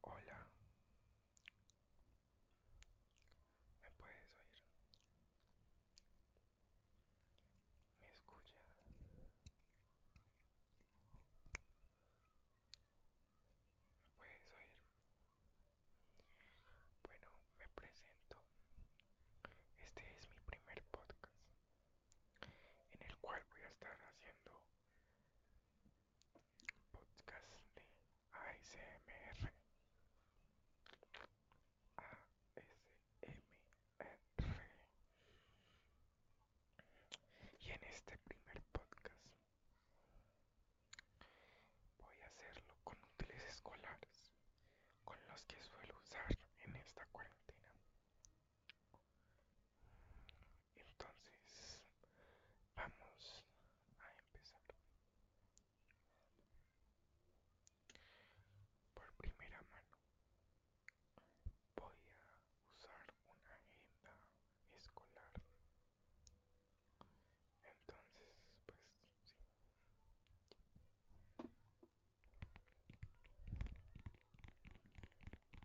Hola. ¿Me puedes oír? ¿Me escuchas? ¿Me puedes oír? Bueno, me presento. Este es mi primer podcast en el cual voy a estar haciendo podcast de ASMR. ASMR. Y en este primer podcast voy a hacerlo con útiles escolares, con los que suelo usar en esta cuarentena. Entonces, vamos a empezar. Por primera mano, voy a usar una agenda escolar. Entonces, pues sí.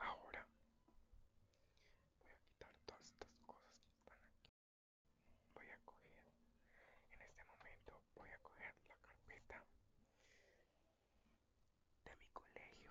Ahora voy a quitar todas estas cosas que están aquí. Voy a coger, en este momento voy a coger la carpeta de mi colegio.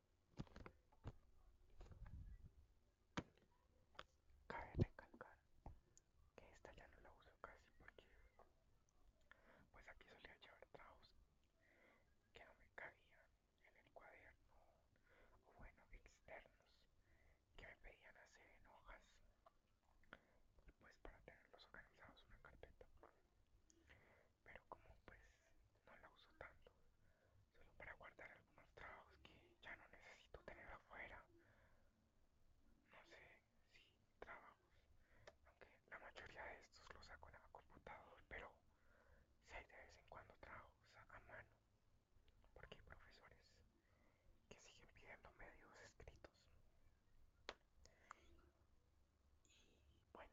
Cabe recalcar que esta ya no la uso casi porque pues aquí solía llevar trabajos que no me cabían en el cuaderno o bueno externos que me pedían hacer en hojas pues para tenerlos organizados una carpeta pero como pues no la uso tanto, solo para guardar algunos trabajos que ya no necesito tener afuera. No sé si trabajos, aunque la mayoría de estos los saco en la computador, pero si hay de vez en cuando trabajos a mano, porque hay profesores que siguen pidiendo medios escritos. Y bueno,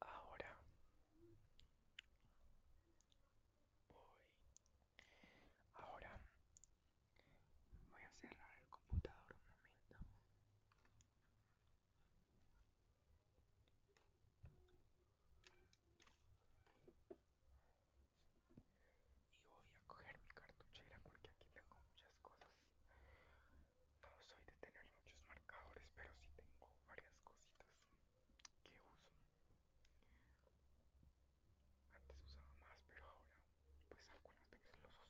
Ahora voy. Ahora voy a cerrar el computador un momento. Y voy a coger mi cartuchera porque aquí tengo muchas cosas no pues soy de tener muchos marcadores, pero sí tengo varias cositas que uso. Antes usaba más, pero ahora pues algunas veces los uso.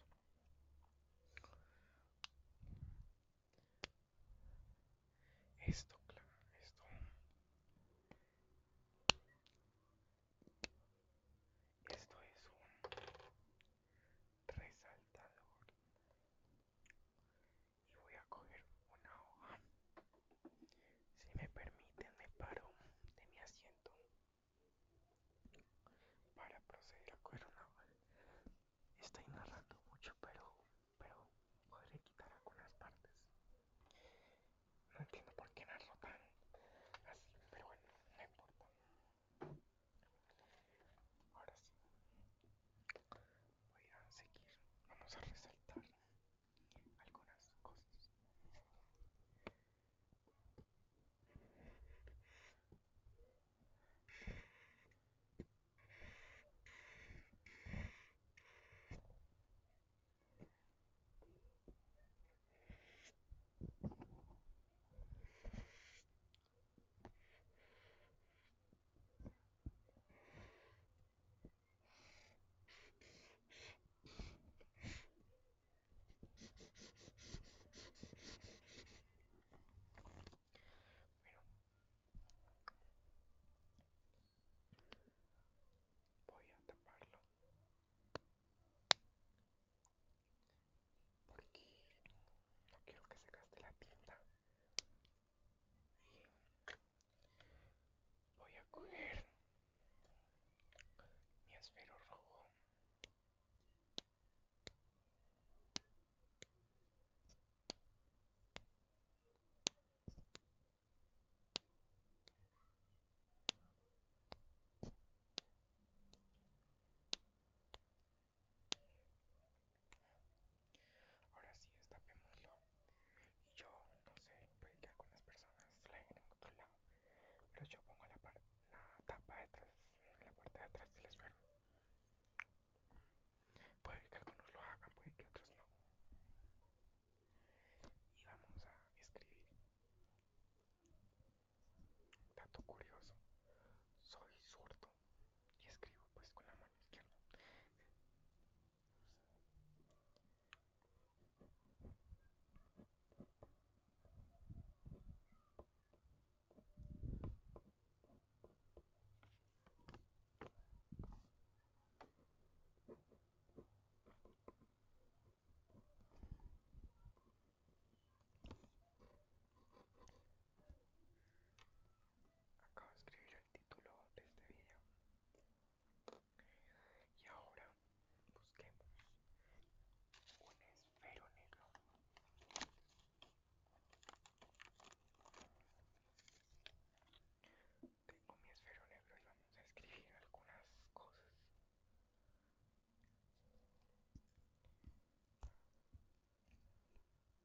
Esto, claro, esto. Esto es un resaltador y voy a coger una hoja. Si me permiten, me paro de mi asiento para proceder a coger una hoja. Estoy narrando mucho, pero, pero podré quitar algunas partes. No entiendo por qué narro tan así, pero bueno, no importa. Ahora sí. Voy a seguir. Vamos a resaltar algunas cosas voy a taparlo porque no quiero que se gaste la tienda Voy a coger mi esfero rojo. Ahora sí, estapémoslo, Y yo, no sé, puede que algunas personas la en otro lado, pero yo pongo la, tapa de tapa detrás, eh, la puerta de atrás les esfero. Puede que algunos lo hagan, puede que otros no. Y vamos a escribir. Dato curioso, soy zurdo y escribo pues con la mano izquierda acabo de escribir el título de este video y ahora busquemos un esfero negro tengo mi esfero negro y vamos a escribir algunas cosas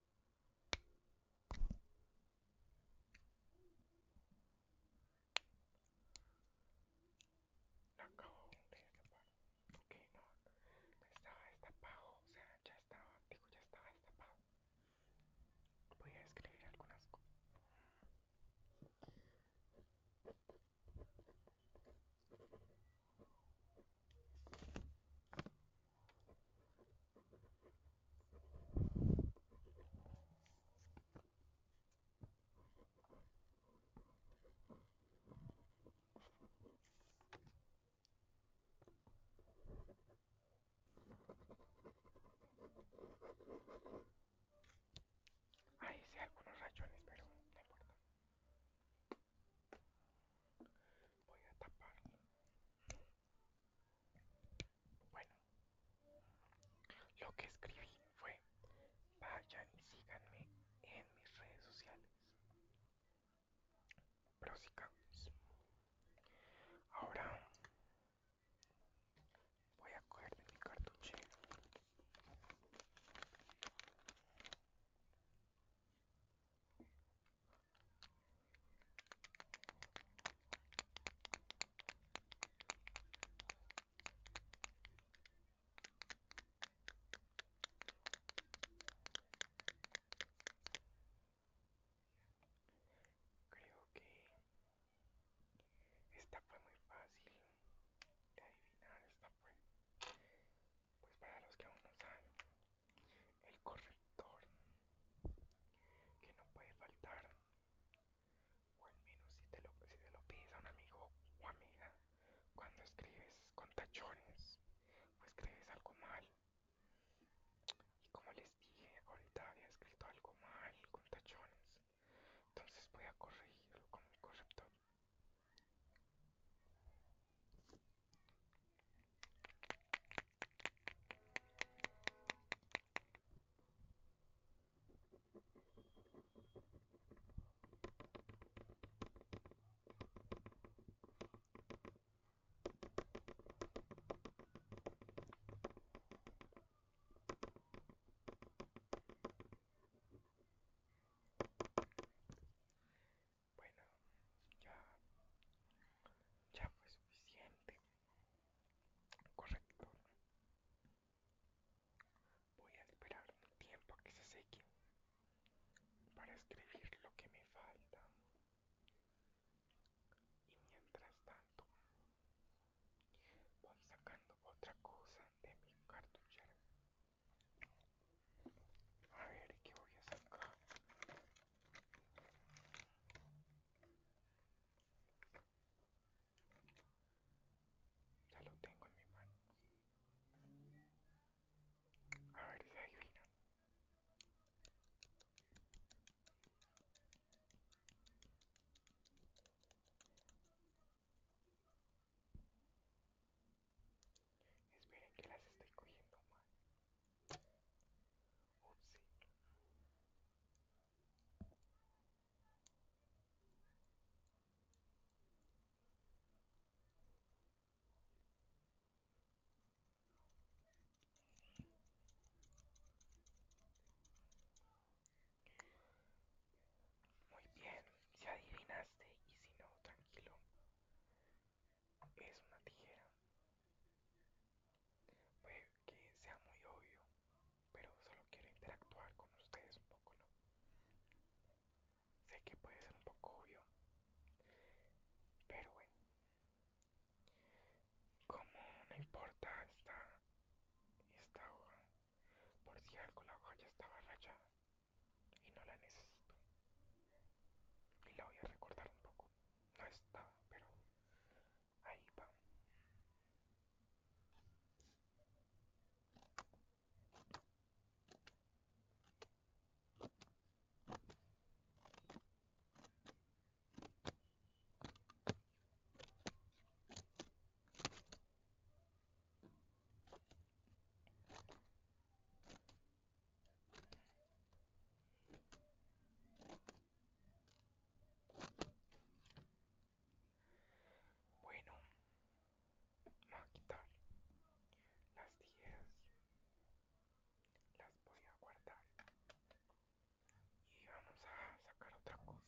no acabo de destapar. Ok, no. No estaba destapado. O sea, ya estaba. Digo, ya estaba destapado. Voy a escribir algunas cosas. Ahí sí algunos rayones, pero no importa. Voy a tapar bueno, lo que escribí fue, vayan y síganme en mis redes sociales. Prosigamos. Ahora voy a coger mi cartucho. Creo que esta fue muy fácil de adivinar, esta fue, pues para los que aún no saben, el corrector que no puede faltar o al menos si te lo, si un amigo o amiga cuando escribes con tachones o escribes algo mal y como les dije ahorita había escrito algo mal con tachones entonces voy a corregirlo con el corrector bueno, ya, ya fue suficiente. Correcto. Voy a esperar un tiempo a que se seque para escribir lo que me falta. Y mientras tanto, voy sacando otra cosa de mi cartuchera. A ver, ¿qué voy a sacar? Ya lo tengo en mi mano. A ver si Esperen que las estoy cogiendo mal. Muy bien, ya adivinaste y si no, tranquilo es una tijera. Puede que sea muy obvio, pero solo quiero interactuar con ustedes un poco, ¿no? Sé que puede ser un poco obvio, pero bueno. Como no importa esta, esta hoja, por si algo la hoja ya estaba rayada y no la necesito. Y la voy a recordar un poco no está, pero ahí va. Bueno, va a quitar las 10, las voy a guardar y vamos a sacar otra cosa.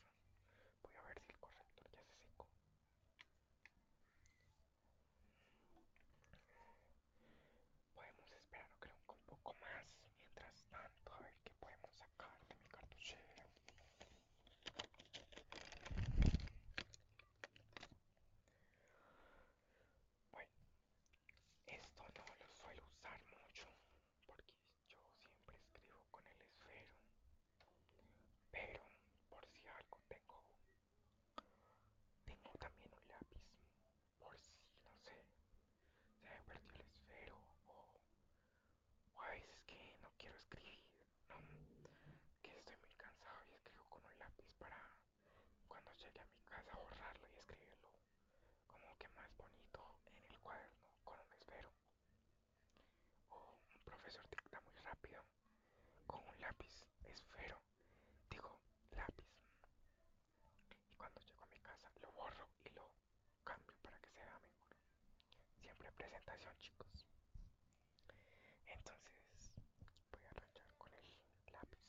Voy a ver si el corrector ya se cinco Podemos esperar, creo, un poco más. Mientras tanto, a ver qué podemos sacar de mi cartuchera. Bueno, esto no lo suelo usar mucho porque yo siempre escribo con el esfero. Pero por si algo tengo tengo también un lápiz por si, no sé, se me perdió el esfero o, a veces que no quiero escribir, que estoy muy cansado y escribo con un lápiz para cuando llegue a mi casa borrarlo y escribirlo como que más bonito en el cuaderno con un esfero. O un profesor dicta muy rápido con un lápiz esfero, digo lápiz y cuando llego a mi casa lo borro y lo cambio para que sea vea mejor. Siempre presentación, chicos. Entonces voy a arrancar con el lápiz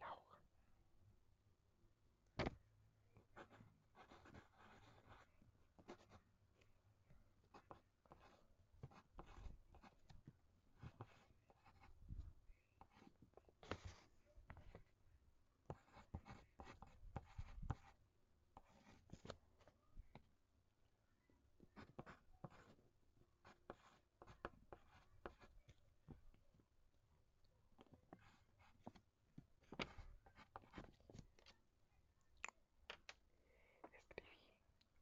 la hoja. Escribí,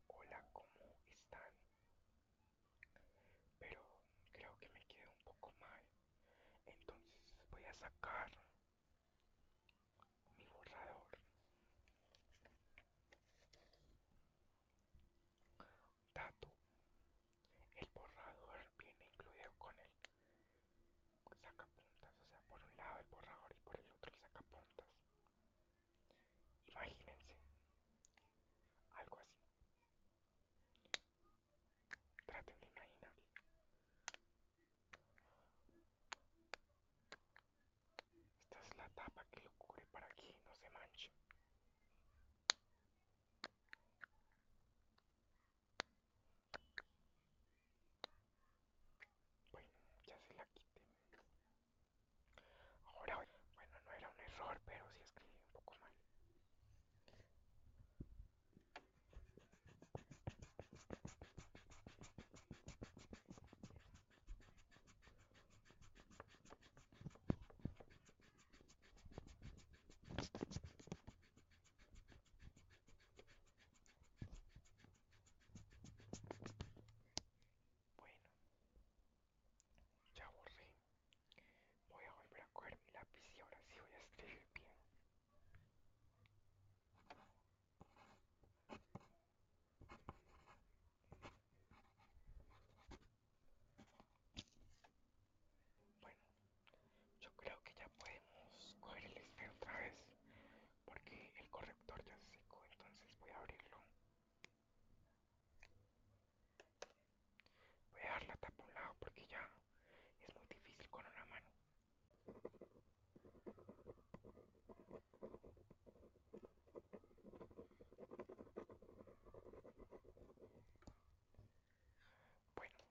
hola, ¿cómo están? pero creo que me queda un poco mal entonces voy a sacar mi borrador dato el borrador viene incluido con el sacapuntas o sea por un lado el borrador y por el otro el sacapuntas imagínense algo así Traten de Esta es la tapa que lo cubre para que no se manche. Bueno, ya se la quité. Ahora, bueno, no era un error, pero sí escribí un poco mal. Bueno, ya borré Voy a volver a coger mi lápiz y ahora sí voy a escribir bien. Bueno, yo creo que ya podemos coger el espejo otra vez porque el corrector ya se secó, entonces voy a abrirlo. Voy a dar la tapa un lado porque ya es muy difícil con una mano. Bueno,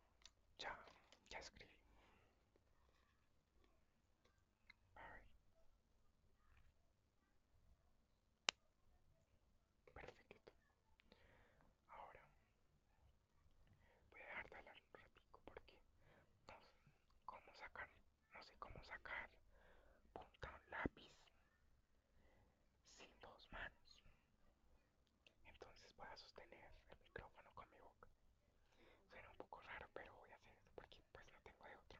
ya, ya escribí. Perfecto. Ahora Voy a darte de hablar un porque no pues, sé cómo sacar, no sé cómo sacar punta un lápiz sin dos manos. Entonces voy a sostener el micrófono con mi boca. Suena un poco raro, pero voy a hacer esto porque pues no tengo de otro.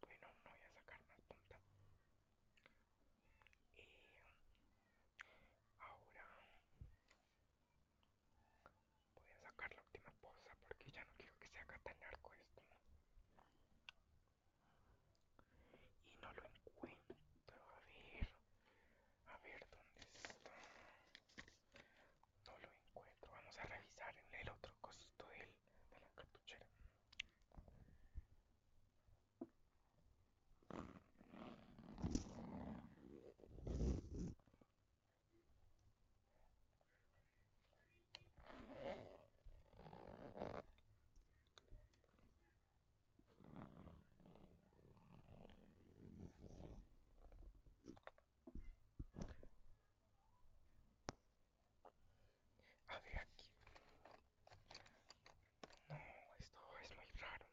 Bueno, no voy a sacar más punta. Y ahora voy a sacar la última posa porque ya no quiero que se haga tan largo esto y no lo encuentro a ver a ver dónde está no lo encuentro vamos a revisar en el otro costo del, de la cartuchera a ver aquí. No, esto es muy raro.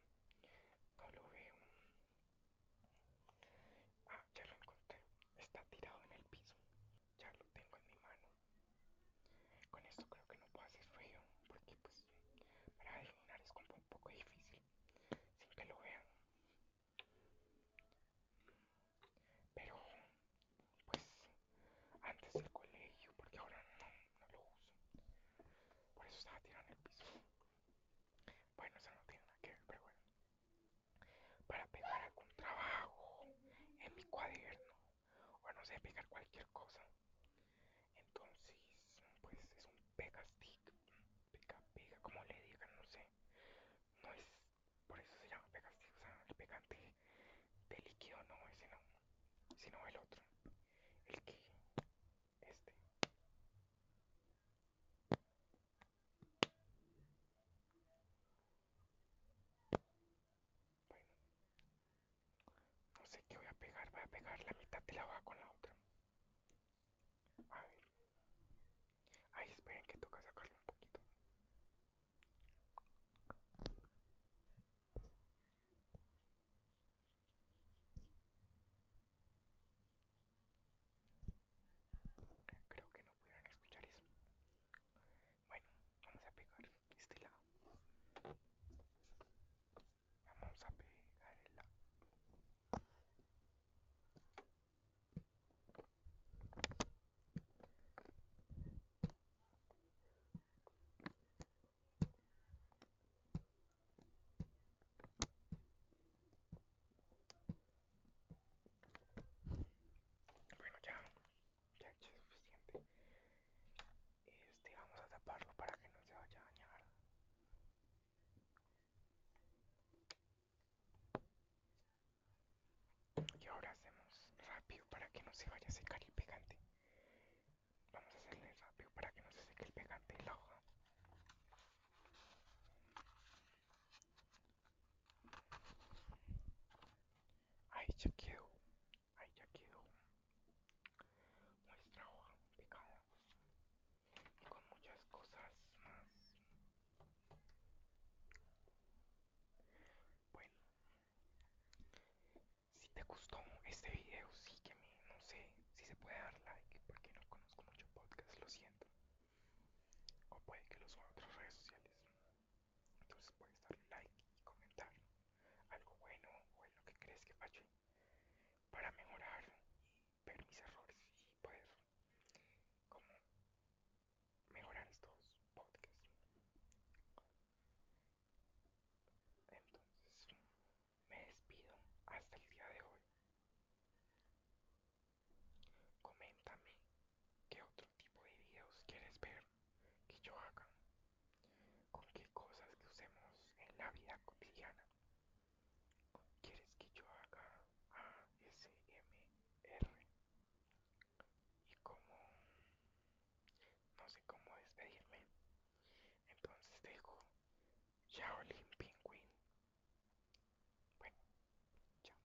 No lo veo. Ah, ya lo encontré. Está tirado en el piso ya lo tengo en mi mano. Con esto creo que no puedo hacer feo, porque pues para adivinar es como un poco difícil, sin que lo vean. Pero pues antes del colegio, porque ahora no, lo uso. Por eso estaba tirado en el piso. Bueno, eso no tiene nada que ver, pero bueno. Para pegar algún trabajo en mi cuaderno o no sé, pegar cualquier cosa. Entonces, pues es un pegastick pega pega, como le digan, no sé. No es, por eso se llama pegastick o sea, el pegante de líquido no, es no, sino el otro, el que, este. Bueno. No sé qué voy a pegar. Voy a pegar la mitad de la hoja con la otra. A ver. Ay, esperen que toca sacarlo un poquito. Creo que no pudieron escuchar eso. Bueno, vamos a pegar este lado. Vamos a pegar el lado. Bueno, ya ya pues, suficiente este vamos a taparlo para que no se vaya a dañar y ahora hacemos rápido para que no se vaya a secar el pegante vamos a hacerle rápido para que no se seque el pegante y la hoja ya quedó, ahí ya quedó nuestra hoja complicada y con muchas cosas más. Bueno, si te gustó este video, sígueme, no sé si se puede dar like porque no conozco mucho podcast, lo siento. O puede que lo suba a otras redes sociales. Entonces puedes darle like y comentar algo bueno o lo que crees que fache para mejorar y ver mis errores y poder como mejorar estos podcasts. Entonces me despido hasta el día de hoy. Coméntame ¿Qué otro tipo de videos quieres ver que yo haga? ¿Con qué cosas que usemos en la vida cotidiana? ¿Quieres que yo haga ASMR? Y como no sé cómo despedirme, entonces dejo ya Penguin. Bueno, chao.